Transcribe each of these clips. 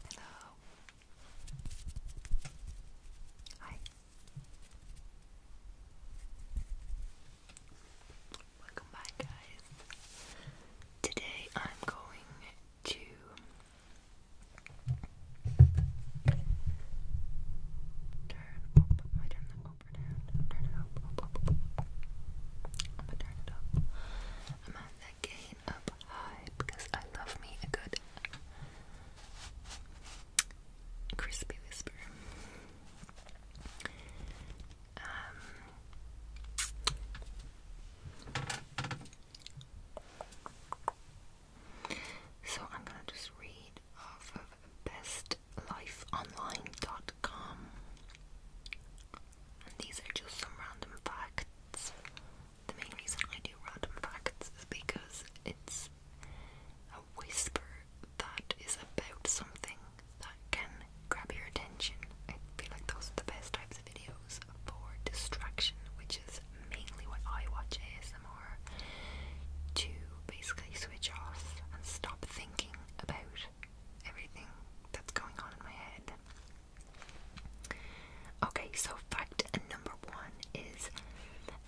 Hello. Hi. Welcome back, guys. Today I'm going to I'm gonna turn it up. I'm on that gain up high because I love me a good crispy whisper. so I'm gonna just read off of best lifeonline.com. And these are just some random facts. The main reason I do random facts is because it's a whisper that is about something that can grab your attention. I feel like those are the best types of videos for distraction, which is mainly what I watch ASMR to basically switch off and stop thinking about everything that's going on in my head. Okay, so fact number one is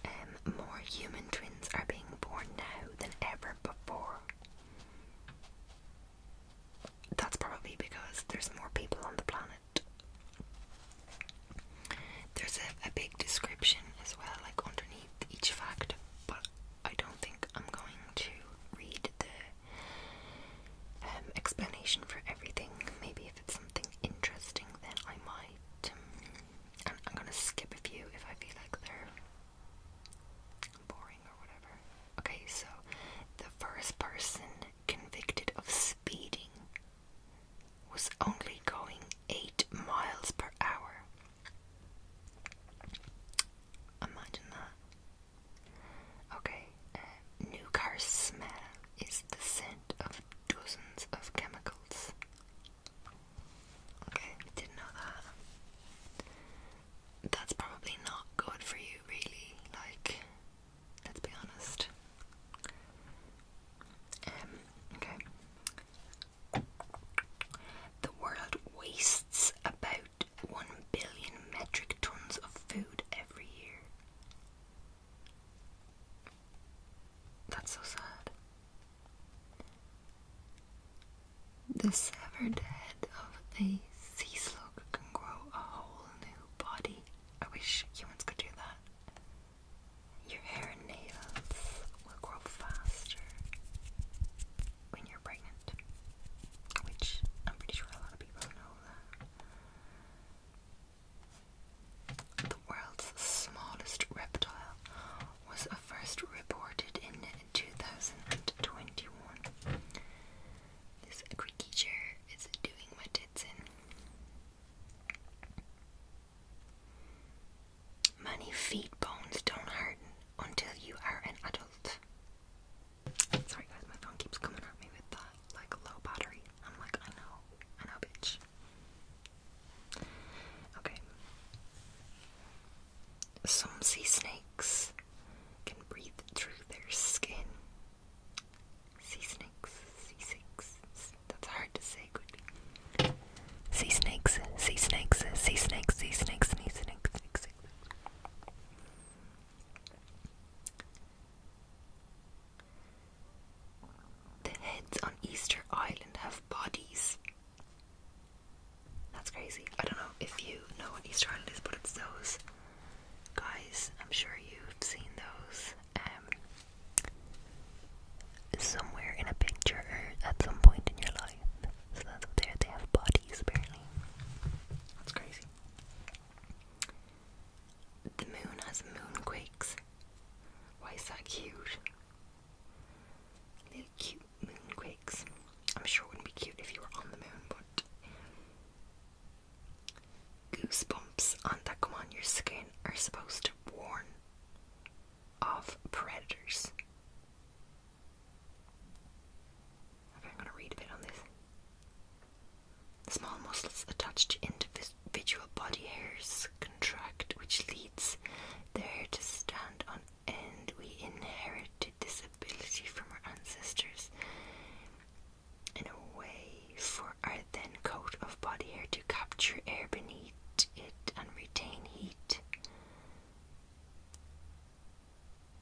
um, more human twins are being born now than ever before. That's probably because there's more people on the planet. There's a, a big description as well, like underneath each fact, but I don't think I'm going to read the um, explanation for everything. Maybe if it's something interesting, then I might. And um, I'm gonna skip a few if I feel like they're boring or whatever. Okay, so the first person convicted of speeding was only going 8 miles per hour Imagine that. Okay, uh, new car smell is the scent of dozens of chemicals. Okay, did know that. That's probably not good for you, really. Like, let's be honest. Um, okay. The world wastes wastes about 1 billion metric tons of food every year. That's so sad. The severed head of a sea slug can grow a whole new body. I wish humans could do that. Your hair nails will grow faster when you're pregnant, which I'm pretty sure a lot of people know The world's smallest reptile was first reported in 2021. This chair is doing what it's in. Many feet bones don't harden until you are an adult. Sorry guys, my phone keeps coming at me with that like low battery. I'm like, I know, I know, bitch. Okay. Some sea snakes can breathe through their skin. Sea snakes, sea snakes. That's hard to say quickly. Sea snakes, sea snakes, sea snakes, sea snakes, sea snakes, sea snakes. Sea snakes. The heads on Easter Island have bodies. That's crazy. I don't know if you know what Easter Island is, but it's those guys. I'm sure you've seen those um, somewhere in a picture or at some point in your life. So that's there. They have bodies, apparently. That's crazy. The moon has moonquakes. Why is that cute? Little cute moonquakes. I'm sure it wouldn't be cute if you were on the moon, but. Goosebumps on that come on your skin are supposed to warn of predators. I'm gonna read a bit on this. Small muscles attached to individual body hairs contract, which leads the hair to stand on end. We inherited this ability from our ancestors in a way for our then coat of body hair to capture air beneath it and retain heat.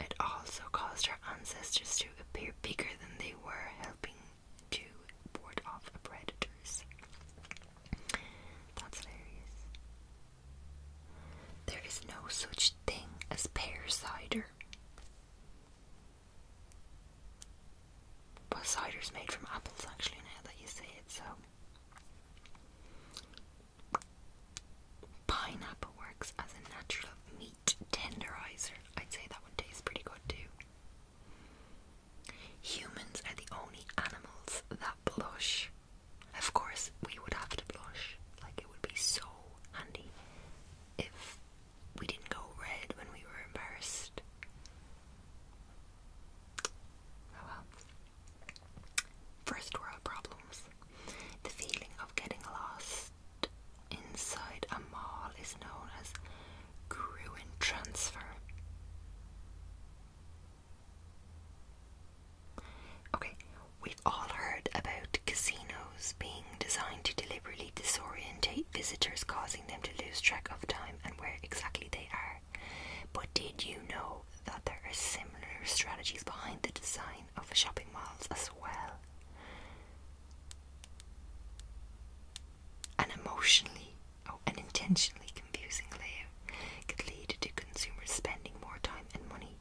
It also caused our ancestors to appear bigger than they were, helping to ward off predators. That's hilarious. There is no such thing as pear cider. But cider's made from apples, actually, now that you say it, so. Pineapple works as a natural meat tenderizer. I'd say that one tastes pretty good too. Humans are the only animals that blush. Of course, we would have to blush. Like, it would be so handy if we didn't go red when we were embarrassed. Oh well. First world problems. The feeling of getting lost inside a mall is known as Gruen transfer. Okay, we've all heard about casinos being designed to deliberately disorientate visitors, causing them to lose track of time and where exactly they are. But did you know that there are similar strategies behind the design of shopping malls as well. An emotionally or oh, an intentionally confusing layout could lead to consumers spending more time and money.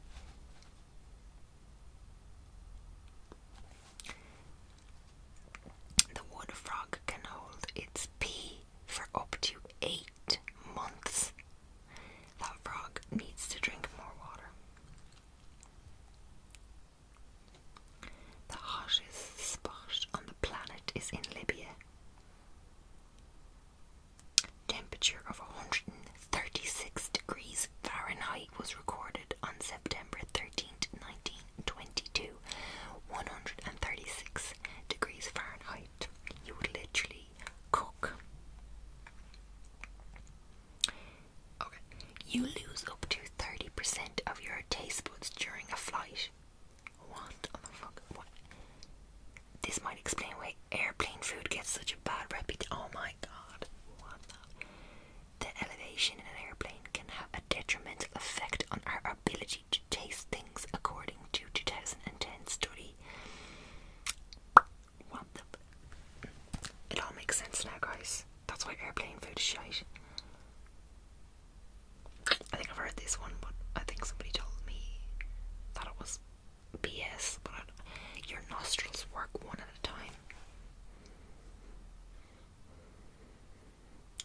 The water frog can hold its pee for up to eight months. That frog needs to drink more water. The harshest spot on the planet is in Libya. Temperature of 136 degrees Fahrenheit was recorded on September thirteenth, nineteen 1922. 136 degrees Fahrenheit. You would literally cook. Okay. You lose up to 30% of your taste buds during a flight. What on the fuck? This might explain why airplane food gets such a bad reputation. Oh my god. the? elevation in an airplane can have a detrimental effect on our ability to taste things according to a 2010 study. It all makes sense now, guys. That's why airplane food is shit. I think I've heard this one, but I think somebody told me that it was BS. But I, your nostrils work one at a time.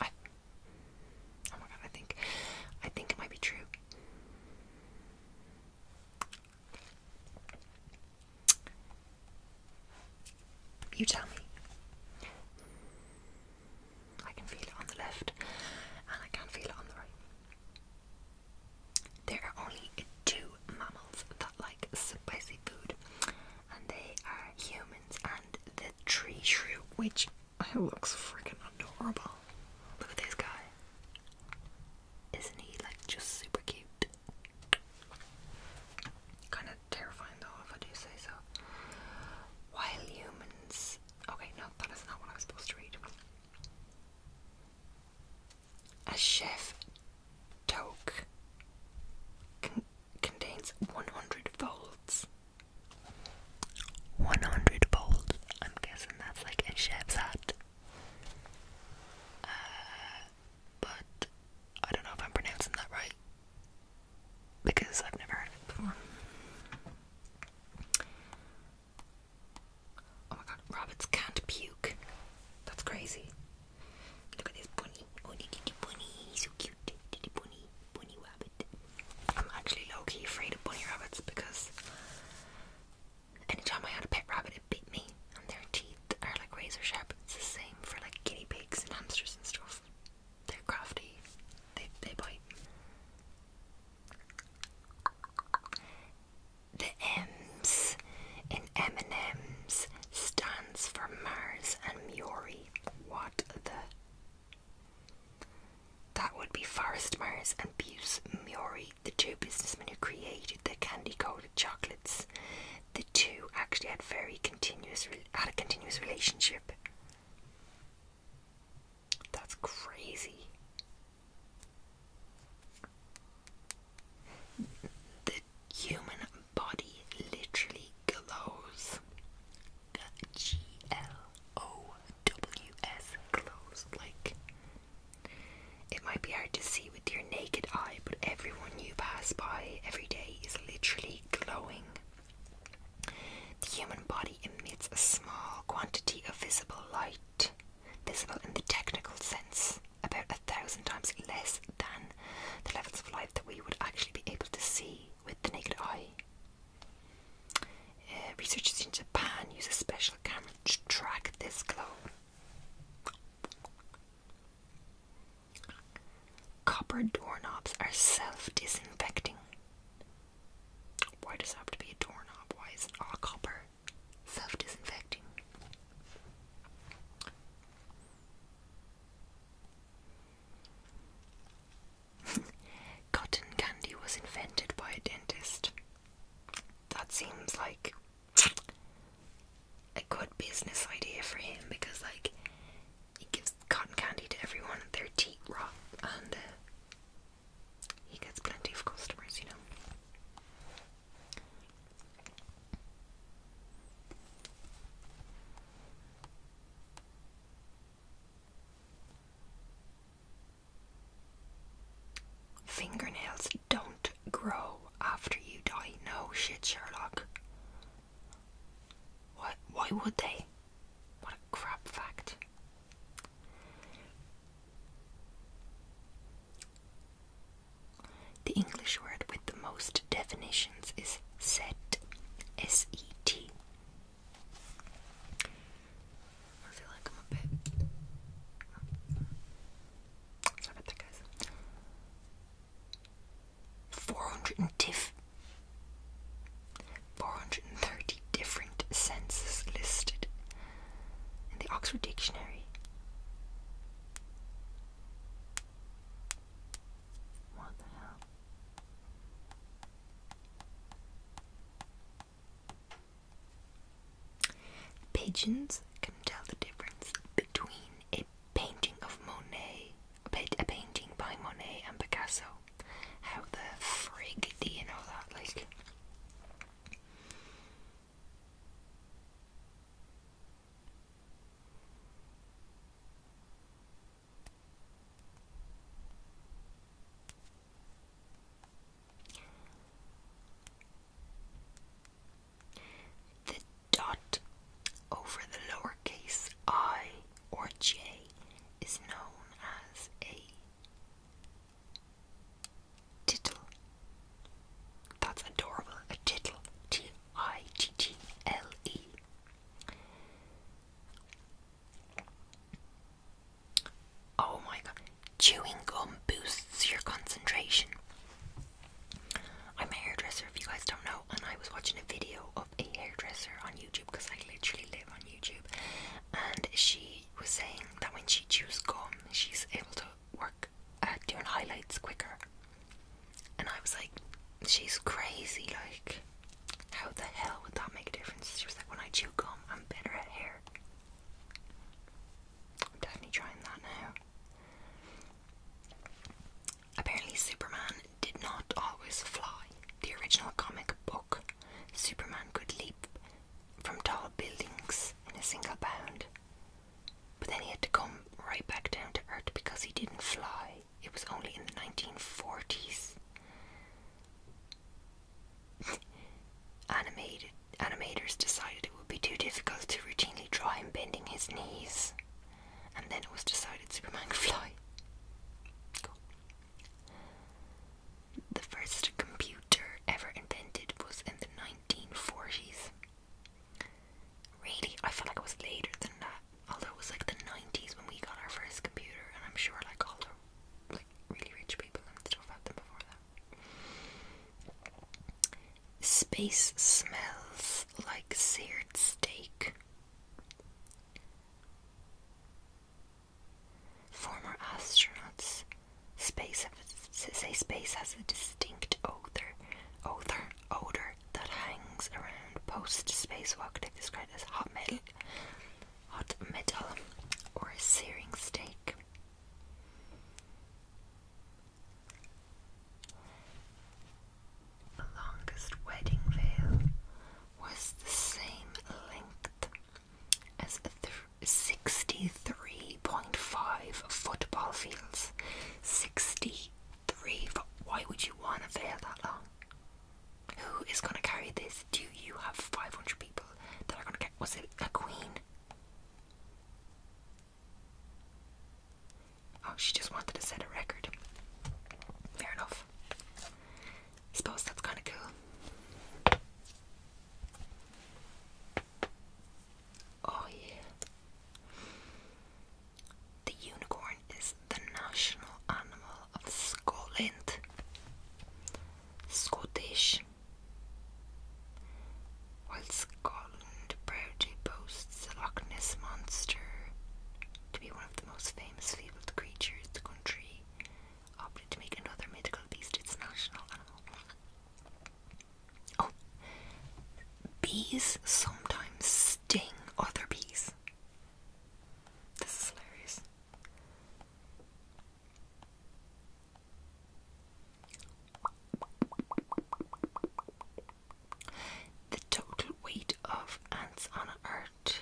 oh my god! I think, I think it might be true. You tell me. I can feel it on the left and I can feel it on the right. There are only two mammals that like spicy food, and they are humans and the tree shrew, which looks freaking adorable. Look at this guy. Isn't he like just super cute? Kind of terrifying though, if I do say so. While humans. Okay, no, that is not what I was supposed to read. A chef toque contains 100 volts. 100 volts. I'm guessing that's like a chef's hat. Uh, but I don't know if I'm pronouncing that right because I've never heard it before. Oh my god, rabbits can't puke. That's crazy. Look at this bunny. Oh, bunny, so cute. bunny, bunny rabbit. I'm actually low key afraid of bunny rabbits because Anytime I had a pet rabbit, it bit me, and their teeth are like razor sharp. It's the same for like guinea pigs and hamsters and stuff. They're crafty, they, they bite. The M's in M&M's stands for Mars and Mori. What the? That would be Forest Mars and Buse Mori the two businessmen who created the candy-coated chocolates, the two actually had very continuous had a continuous relationship. That's crazy. The human body literally glows. G L O W S glows like it might be hard to see with your naked eye, but everyone you pass by every day is literally glowing. The human body emits a small quantity of visible light, visible in the technical sense, about a thousand times less than the levels of light that we would actually be able to see with the naked eye. Uh, researchers in Japan use a special camera to track this glow. Copper doorknobs are self-disinfecting. Why does have to be a doorknob? Why is it all copper? Self-disinfecting. Cotton candy was invented by a dentist. That seems like a good business idea for him because, like, he gives cotton candy to everyone and their teeth rot, and uh, he gets plenty of customers, you know. Fingernails don't grow after you die. No shit, Sherlock. Why would they? What a crap fact. The English word with the most definitions is set. S-E-T. Four hundred about that, 430 different senses listed in the Oxford Dictionary. What the hell? Pigeons can tell the difference between a painting of Monet, a painting by Monet and Picasso. How the frig do you know that? Like, the dot over the lowercase i or j is known as a tittle. That's adorable. A tittle. T I T T L E. Oh my god. Chewing gum boosts your concentration. I'm a hairdresser, if you guys don't know, and I was watching a video of a hairdresser on YouTube because I literally live on YouTube, and she was saying that when she chews gum, she's able to work uh, doing highlights quicker. And I was like, she's crazy, like, how the hell would that make a difference? She was like, when I chew gum, I'm better at hair. I'm definitely trying that now. Apparently, Superman did not always fly. The original comic book, Superman could leap from tall buildings in a single bound, but then he had to come right back down to earth because he didn't fly. It was only in the 1940s. Animated animators decided it would be too difficult to routinely draw him bending his knees, and then it was decided Superman could fly. The first computer ever invented was in the 1940s. Really, I feel like it was later than that. Although it was like the 90s when we got our first computer, and I'm sure like all the like really rich people and had them before that. Space smells like seared steak. Former astronauts space say space has a distinct odor, odor, odor that hangs around post spacewalk. They described as hot metal, hot metal, or searing steak. The longest wedding veil was the same length as 63.5 football fields. 63. Why would you want a veil that long? Who is going to carry this? Do you have 500 people that are going to get. Was it a queen? Oh, she just wanted to set a record. Fair enough. I suppose that's kind of cool. Oh, yeah. The unicorn is the national animal of Scotland, Scottish, while Scotland proudly boasts the Loch Ness Monster to be one of the most famous fabled creatures, the country opted to make another mythical beast its national animal. Oh, bees sometimes sting other bees. This is hilarious. The total weight of ants on Earth.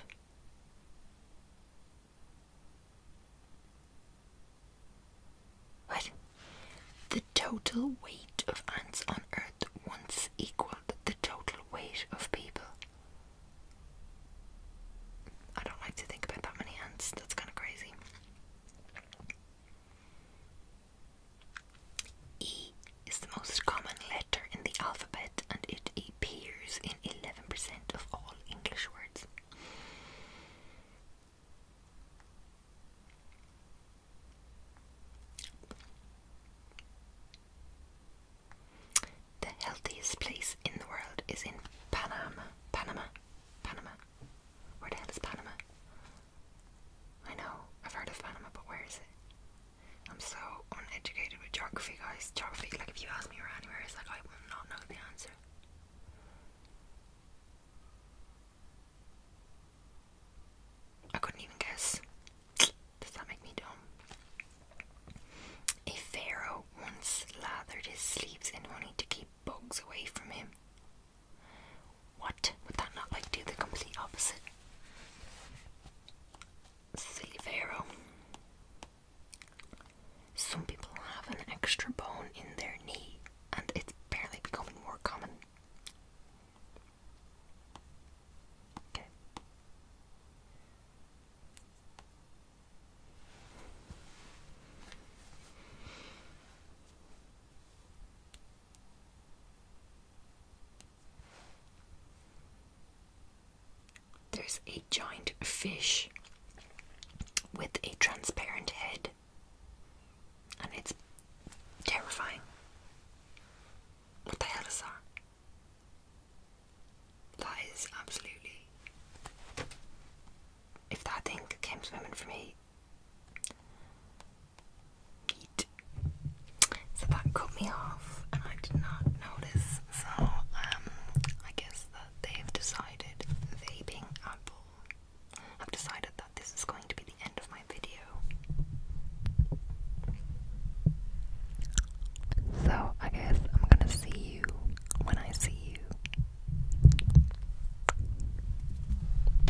What? The total weight of ants on Earth once equaled the total weight of people. I don't like to think about that many ants, that's kind of crazy. E is the most common letter in the alphabet and it appears in 11% of all English words. The healthiest place in the world is in Panama. Panama. Panama. Where the hell is Panama? I know, I've heard of Panama, but where is it? I'm so uneducated with geography, guys. Geography, like, if you ask me where anywhere is, like, I will not know the answer. I couldn't even guess. Does that make me dumb? A pharaoh once lathered his sleeves in honey to keep bugs away from him. What? Would that not like do the complete opposite? Silly Pharaoh. Some people have an extra bone in their knee, and it's apparently becoming more common. Okay. There's a giant fish with a transparent head, and it's terrifying. What the hell is that? That is absolutely. If that thing came swimming for me, so that cut me off and I did not notice. So, um, I guess that they've decided, vaping apple, have decided that this is going to be the end of my video. So, I guess I'm gonna see you when I see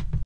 you.